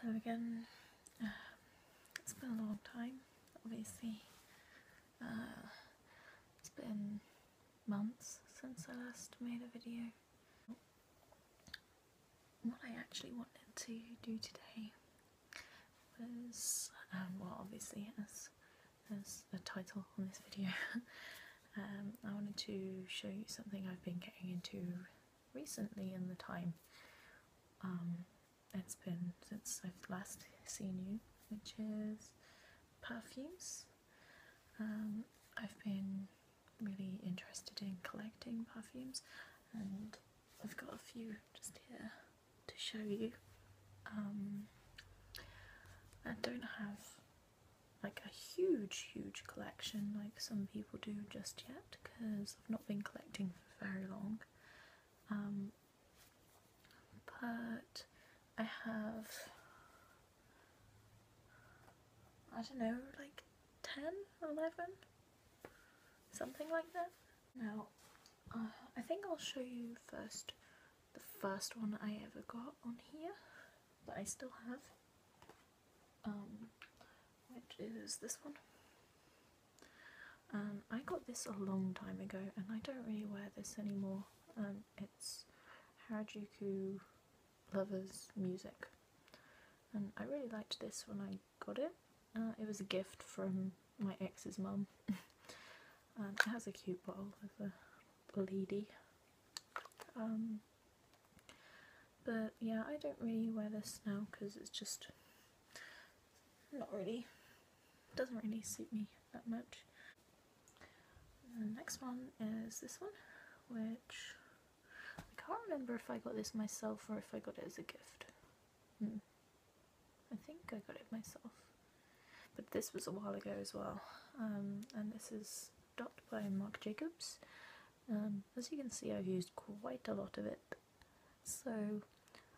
Hello again. Um, it's been a long time, obviously. Uh, it's been months since I last made a video. What I actually wanted to do today was, um, well obviously as, as a title on this video, Um, I wanted to show you something I've been getting into recently in the time um, that has been since I've last seen you, which is perfumes. Um, I've been really interested in collecting perfumes and I've got a few just here to show you. I don't have like a huge, huge collection like some people do just yet because I've not been collecting for very long. Um, but I have, I don't know, like 10, 11, something like that. Now, uh, I think I'll show you first the first one I ever got on here that I still have. Um, which is this one. Um, I got this a long time ago and I don't really wear this anymore. Um, it's Harajuku Lovers Music and I really liked this when I got it. Uh, it was a gift from my ex's mum. um, it has a cute bottle with a lady. Um, but yeah, I don't really wear this now because it's just not really, doesn't really suit me that much. the next one is this one, which I can't remember if I got this myself or if I got it as a gift. Hmm. I think I got it myself. But this was a while ago as well. Um, and this is dot by Marc Jacobs. Um, as you can see I've used quite a lot of it. So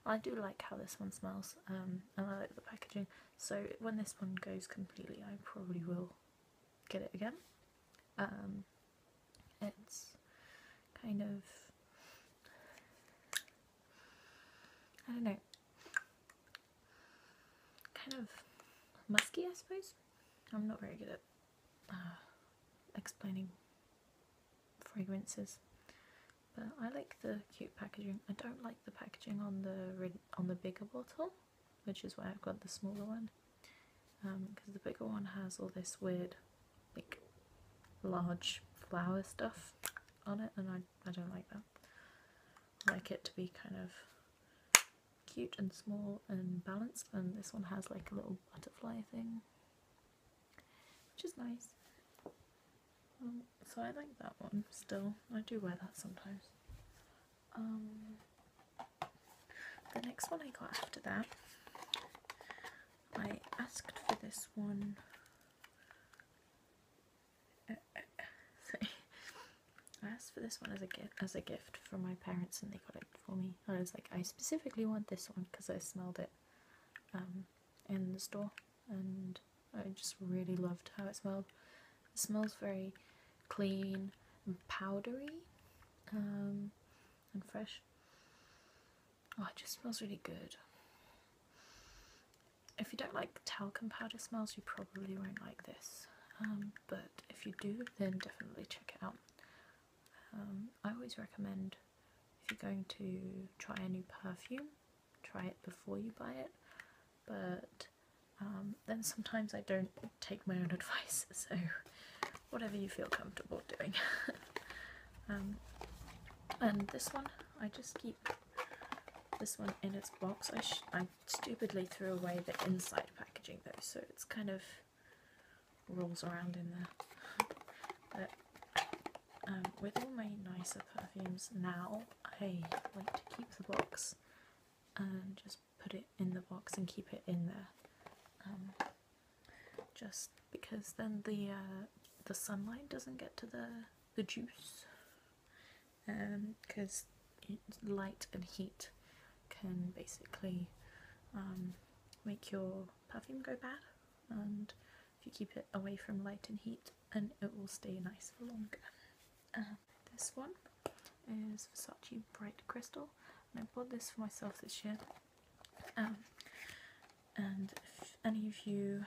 I do like how this one smells um, and I like the packaging so when this one goes completely I probably will get it again. Um, it's kind of, I don't know, kind of musky, I suppose. I'm not very good at uh, explaining fragrances, but I like the cute packaging. I don't like the packaging on the on the bigger bottle, which is why I've got the smaller one, because um, the bigger one has all this weird, like, large flower stuff on it, and I I don't like that. I like it to be kind of cute and small and balanced and this one has like a little butterfly thing which is nice um, so I like that one still I do wear that sometimes um, the next one I got after that I asked for this one I asked for this one as a gift as a gift from my parents and they got it for me. I was like, I specifically want this one because I smelled it um, in the store and I just really loved how it smelled. It smells very clean and powdery um, and fresh. Oh, it just smells really good if you don't like talcum powder smells you probably won't like this um, but if you do then definitely check it out um, I always recommend if you're going to try a new perfume try it before you buy it but um, then sometimes I don't take my own advice so whatever you feel comfortable doing and this one I just keep this one in its box. I, stupidly threw away the inside packaging though, so it's kind of rolls around in there. But um, with all my nicer perfumes now, I like to keep the box and um, just put it in the box and keep it in there. Um, just because then the uh, the sunlight doesn't get to the the juice because um, light and heat can basically um, make your perfume go bad and if you keep it away from light and heat and it will stay nice for longer. Uh, this one is Versace Bright Crystal and I bought this for myself this year um, and if any of you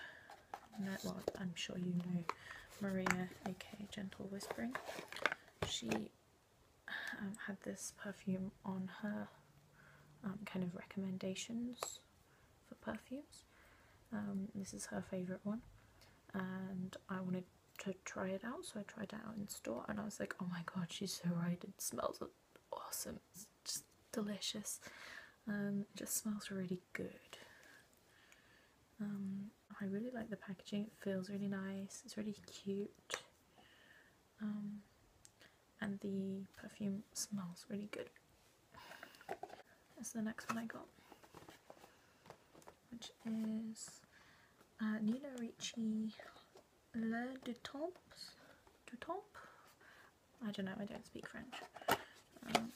well, I'm sure you know Maria, aka Gentle Whispering. She um, had this perfume on her um, kind of recommendations for perfumes. Um, this is her favourite one, and I wanted to try it out, so I tried it out in store, and I was like, oh my god, she's so right, it smells awesome, it's just delicious. Um, it just smells really good. Um, I really like the packaging, it feels really nice, it's really cute. Um, and the perfume smells really good. That's the next one I got, which is uh, Nina Ricci Le Dutomps, Dutomp I don't know, I don't speak French. and um,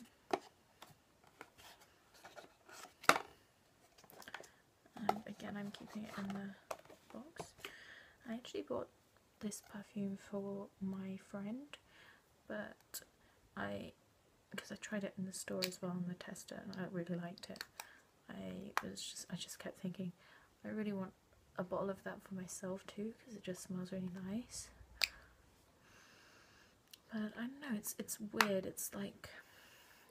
um, again, I'm keeping it in the box. I actually bought this perfume for my friend, but I, because I tried it in the store as well on the tester and I really liked it. I was just, I just kept thinking, I really want a bottle of that for myself too because it just smells really nice. But I don't know, it's it's weird. It's like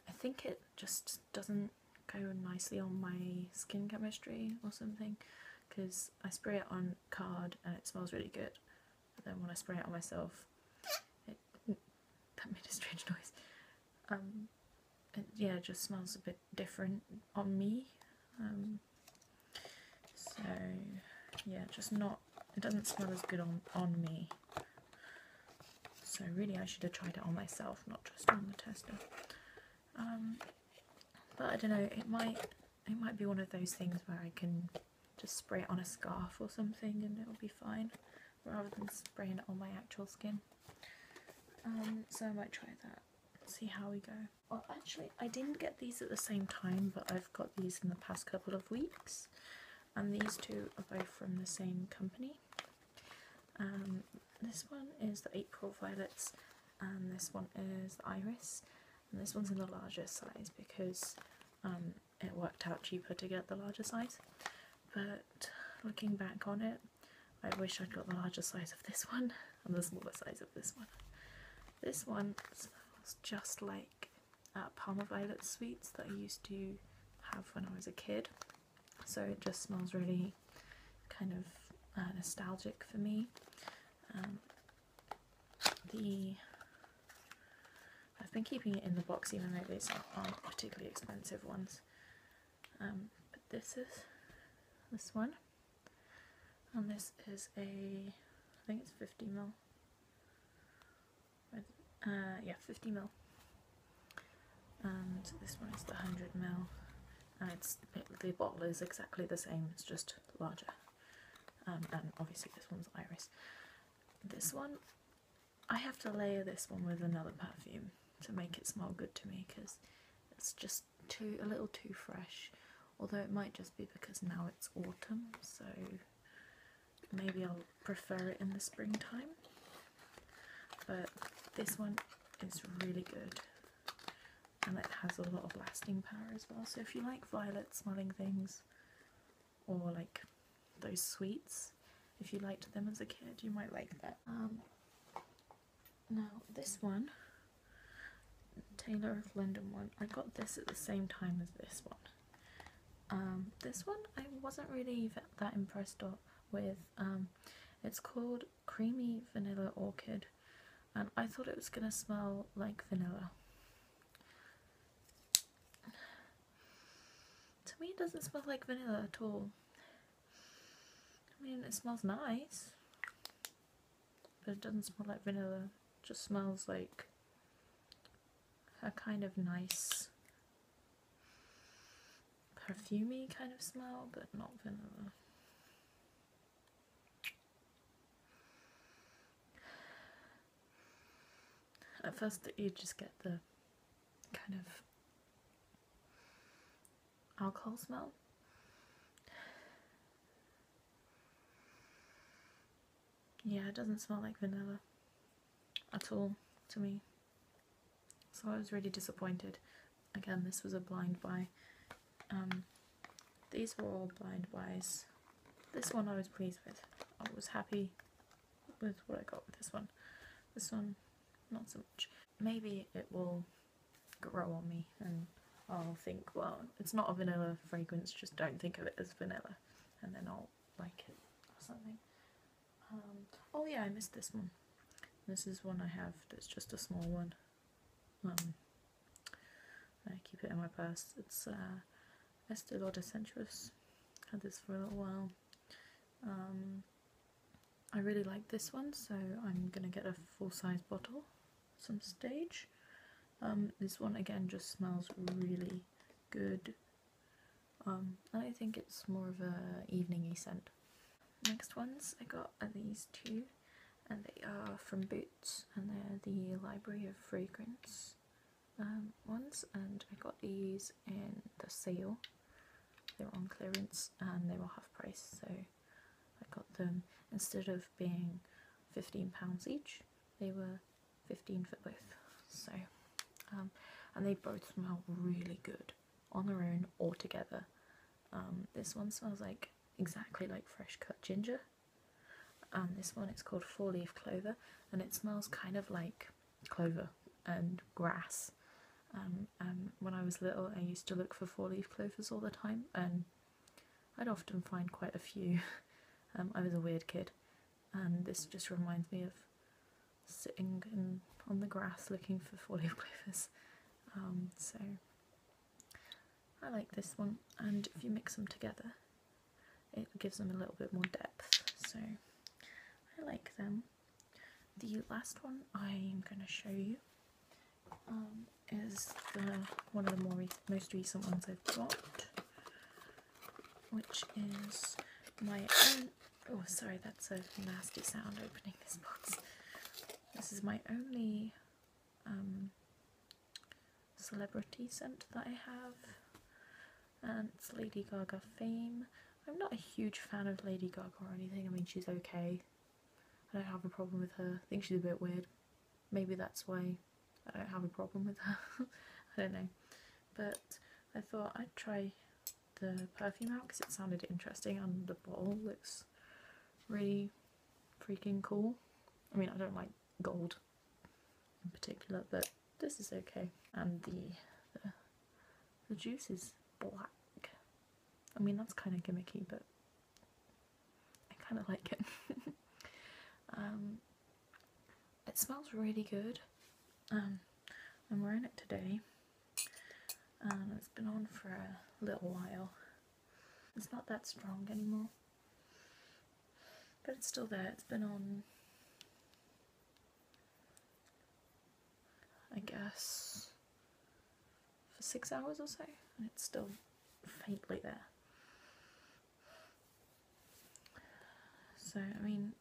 I think it just doesn't go nicely on my skin chemistry or something because I spray it on card and it smells really good but then when I spray it on myself it, that made a strange noise um, yeah just smells a bit different on me um, so yeah, just not, it doesn't smell as good on, on me. So really I should have tried it on myself, not just on the tester. Um, but I don't know, it might, it might be one of those things where I can just spray it on a scarf or something and it'll be fine rather than spraying it on my actual skin. Um, so I might try that, see how we go. Well, actually, I didn't get these at the same time, but I've got these in the past couple of weeks. And these two are both from the same company. Um, this one is the April Violets, and this one is the Iris. And this one's in the larger size because um, it worked out cheaper to get the larger size. But looking back on it, I wish I'd got the larger size of this one and the smaller size of this one. This one smells just like uh, Palmer Violet sweets that I used to have when I was a kid. So it just smells really kind of uh, nostalgic for me. Um, the I've been keeping it in the box even though these aren't particularly expensive ones. Um, but this is this one and this is a I think it's 50 mil uh, yeah 50 mil and this one is the 100 mil and it's the bottle is exactly the same it's just larger um, and obviously this one's iris this one I have to layer this one with another perfume to make it smell good to me because it's just too a little too fresh although it might just be because now it's autumn so maybe I'll prefer it in the springtime but this one is really good and it has a lot of lasting power as well so if you like violet smelling things or like those sweets if you liked them as a kid you might like that um, now this one, Taylor of London one, I got this at the same time as this one. Um, this one I wasn't really that impressed with. Um, it's called Creamy Vanilla Orchid and I thought it was going to smell like vanilla. To me it doesn't smell like vanilla at all. I mean, it smells nice, but it doesn't smell like vanilla. just smells like a kind of nice perfumy kind of smell, but not vanilla. At first you just get the kind of alcohol smell. Yeah, it doesn't smell like vanilla at all to me. So I was really disappointed. Again, this was a blind buy. Um, these were all blind buys. This one I was pleased with. I was happy with what I got with this one. This one, not so much. Maybe it will grow on me and I'll think, well, it's not a vanilla fragrance, just don't think of it as vanilla. And then I'll like it or something. Um, oh yeah, I missed this one. This is one I have that's just a small one. Um, I keep it in my purse. It's uh, Estee Lauder Sensuous. Had this for a little while. Um, I really like this one, so I'm gonna get a full-size bottle some stage. Um, this one again just smells really good. Um, I think it's more of a eveningy scent. Next ones I got are these two, and they are from Boots, and they're the Library of Fragrance um, ones. And I got these in the sale. They were on clearance and they were half price, so I got them. Instead of being £15 each, they were 15 for both. So, um, and they both smell really good on their own or together. Um, this one smells like exactly like fresh cut ginger. And um, this one, it's called four leaf clover, and it smells kind of like clover and grass. and um, um, when I was little, I used to look for four-leaf clovers all the time, and I'd often find quite a few. Um, I was a weird kid, and this just reminds me of sitting on the grass looking for four-leaf clovers. so I like this one, and if you mix them together, it gives them a little bit more depth. So I like them. The last one I'm going to show you um, is one of the more most recent ones I've got, which is my Oh, sorry, that's a nasty sound opening this box. This is my only um, celebrity scent that I have and it's Lady Gaga Fame. I'm not a huge fan of Lady Gaga or anything, I mean she's okay. I don't have a problem with her. I think she's a bit weird. Maybe that's why I don't have a problem with her. I don't know. But I thought I'd try the perfume out because it sounded interesting and the bottle looks really freaking cool. I mean I don't like gold in particular but this is okay. And the, the, juice is black. I mean, that's kind of gimmicky, but I kind of like it. um, it smells really good. Um, I'm wearing it today. And um, it's been on for a little while. It's not that strong anymore. But it's still there. It's been on I guess, for six hours or so, and it's still faintly there. So, I mean,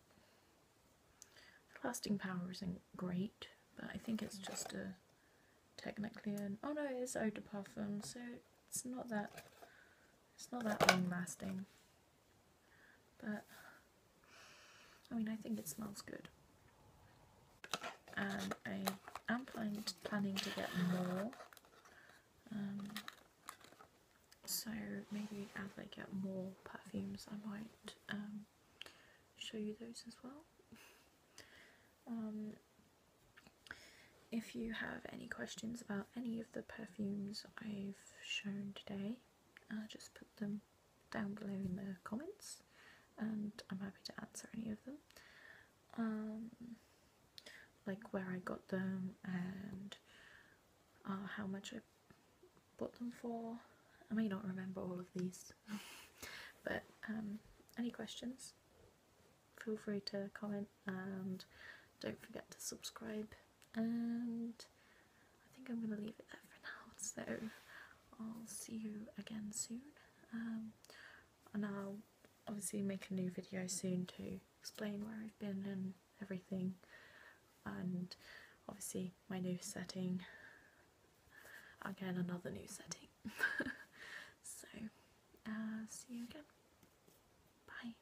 the lasting power isn't great, but I think it's just a technically an oh no, it is eau de parfum, so it's not that it's not that long lasting. But I mean, I think it smells good. And I am planning to get more. Um, so maybe as I get more perfumes, I might um, show you those as well. Um, if you have any questions about any of the perfumes I've shown today, I'll just put them down below in the comments and I'm happy to answer any of them. Um, like where I got them and uh, how much I bought them for. I may not remember all of these, but um, any questions? Feel free to comment and don't forget to subscribe and I think I'm going to leave it there for now. So I'll see you again soon, um, and I'll obviously make a new video soon to explain where I've been and everything, and obviously my new setting. Again, another new setting. so, uh, see you again. Bye.